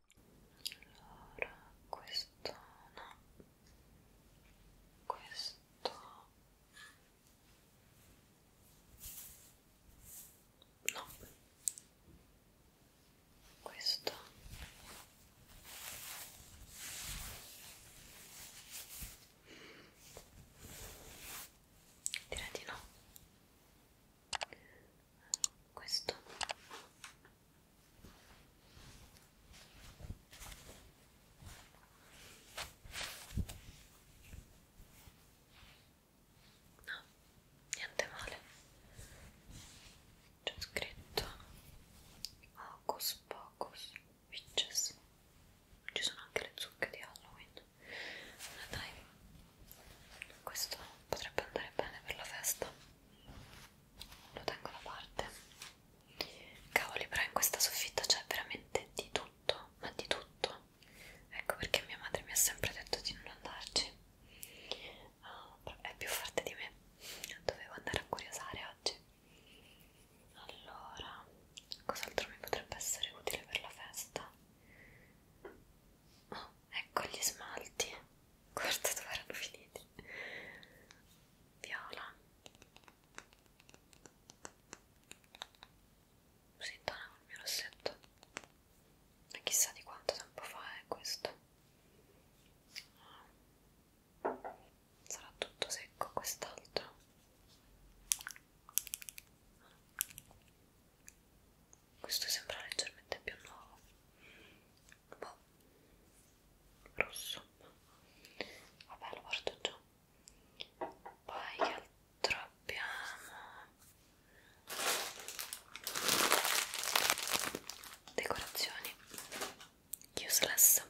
allora questo no questo no questo direi di no questo No, niente male. C'è scritto Hocus Pocus Witches. Ci sono anche le zucche di Halloween. Ma dai, questo potrebbe andare bene per la festa lo tengo da parte cavoli però in questa soffitta c'è veramente di tutto ma di tutto ecco perché mia madre mi ha sempre detto di non andarci oh, è più forte di me dovevo andare a curiosare oggi allora cos'altro mi potrebbe essere utile per la festa oh, ecco gli smalti guarda dove erano finiti viola si intona con il mio rossetto e chissà di quanto tempo fa è questo sarà tutto secco quest'altro questo sembra leggermente più nuovo un boh. po' rosso vabbè lo porto giù poi che altro abbiamo decorazioni useless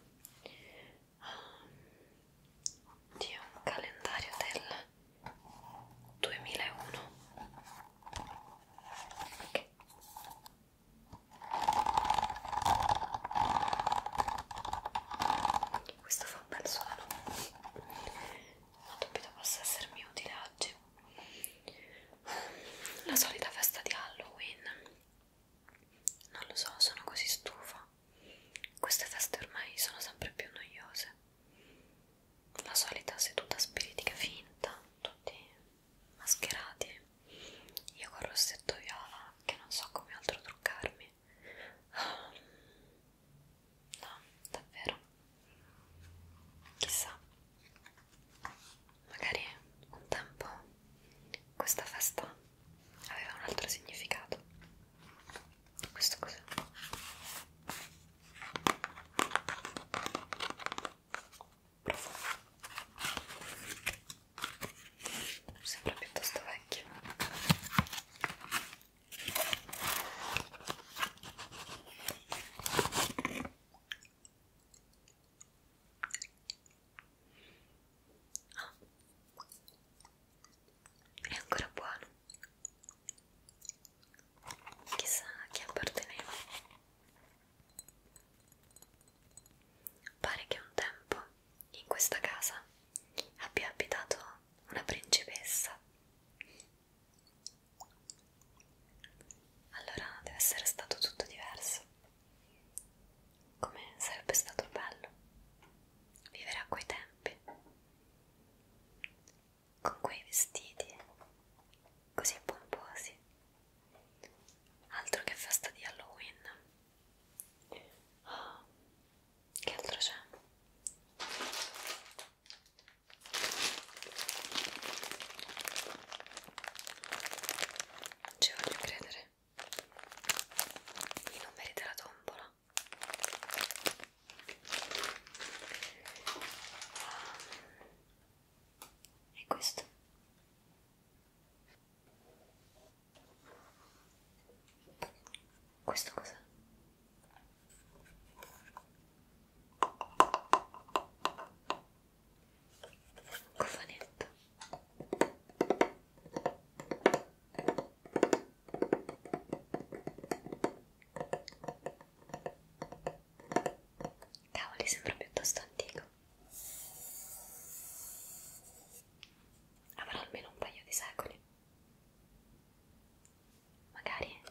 di un calendario del 2001 ok questo fa un bel suono, non dubito possa essermi utile oggi. La solita festa di Halloween, non lo so, sono così stufa. Queste feste ormai sono sempre più noiose la solita seduta spiritica finta, tutti mascherati. Io col rossetto viola che non so come altro truccarmi. Ah, no, davvero. Chissà. Magari un tempo questa festa aveva un altro significato. Questo cos'è? Sembra piuttosto vecchio. Ah. È ancora buono chissà a chi apparteneva. Pare che un tempo in questa casa abbia abitato una principessa. Allora deve essere stato tutto diverso. Come sarebbe stato bello vivere a quei tempi con quei vestiti così pomposi. Altro che festa di Halloween. Oh, che altro c'è? Ci voglio credere. I numeri della tombola e questo questo cos'è? cofanetto Cavoli, sembra piuttosto antico. Avrà almeno un paio di secoli. Magari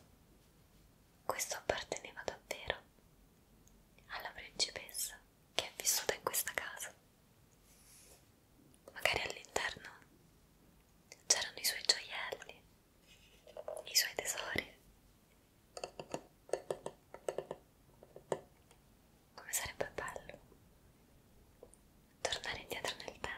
questo apparteneva davvero alla principessa che è vissuta in questa casa. Magari all'interno c'erano i suoi gioielli i suoi tesori. Come sarebbe bello tornare indietro nel tempo.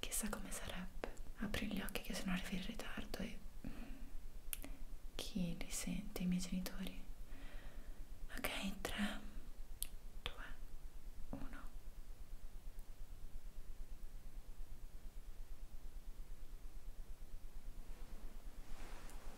Chissà come sarebbe. Apri gli occhi che sono arrivi in ritardo e mm, chi li sente? I miei genitori. Ok, 3, 2, 1.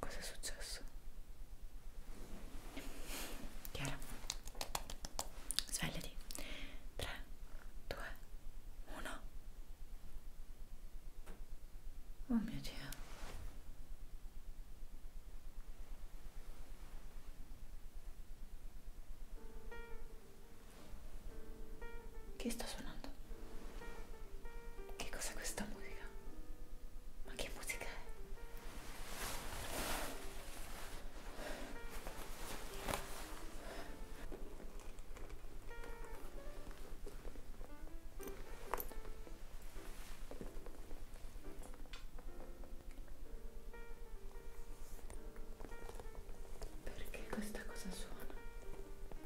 Cosa è successo? Chiara, svegliati. 3, 2, 1. Oh mio Dio. Che sta suonando? Che cos'è questa musica? Ma che musica è? Perché questa cosa suona?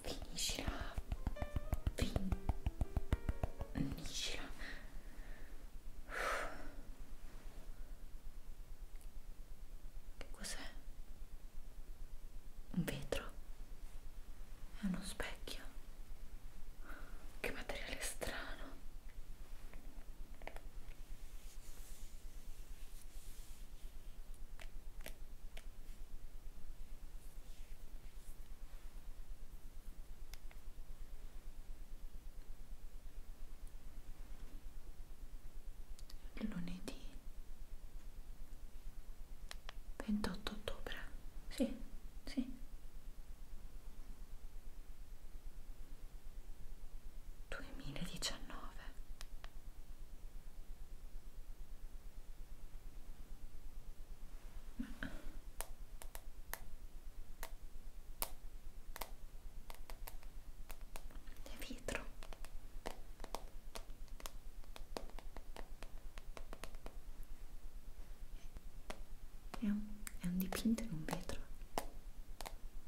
Finiscila. Finiscila. Che cos'è? Un vetro? È uno specchio? Che materiale strano lunedì 28 ottobre sì sì duemiladiciannove è vetro è un, è un dipinto in un vetro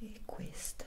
e questa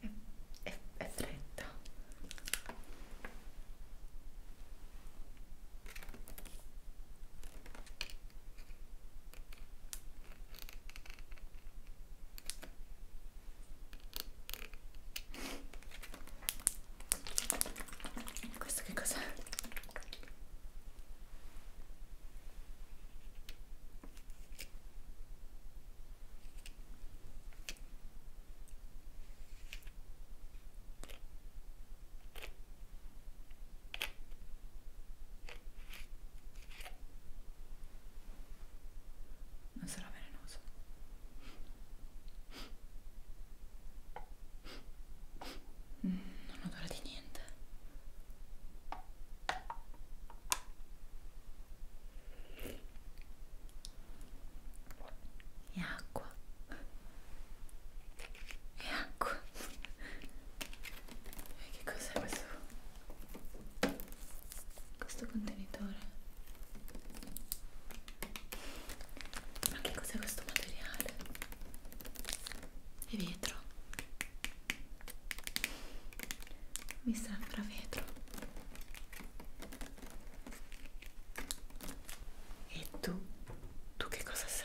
è, è, è fredda questo che cos'è? Non sarà velenoso. Mm, non odora di niente e acqua e acqua e che cos'è questo? questo contenitore? ma che cos'è questo materiale? è vetro mi sembra vetro e tu tu che cosa sei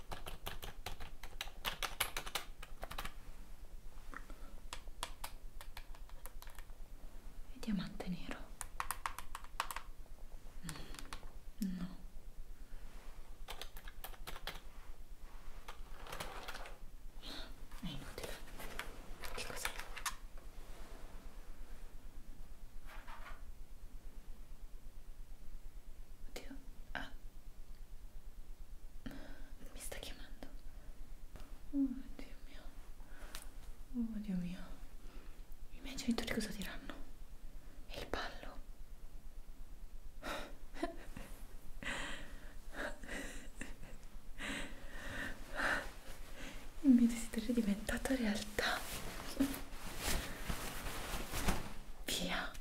e diamante nero mm, no è inutile che cos'è? Oddio, ah. Mi sta chiamando. Oh Dio mio. Oh Dio mio. I miei genitori cosa diranno? E il ballo. Il mio desiderio è diventato realtà. Via.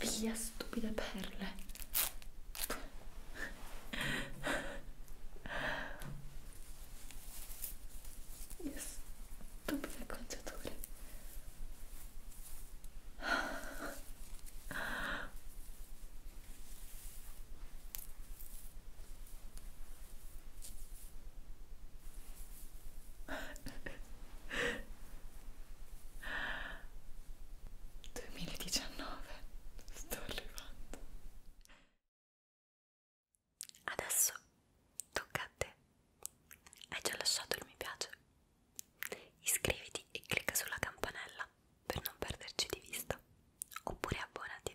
Via stupide perle. Via stupide acconciature. 2019 sto arrivando adesso tocca a te hai già lasciato il mi piace iscriviti e clicca sulla campanella per non perderci di vista oppure abbonati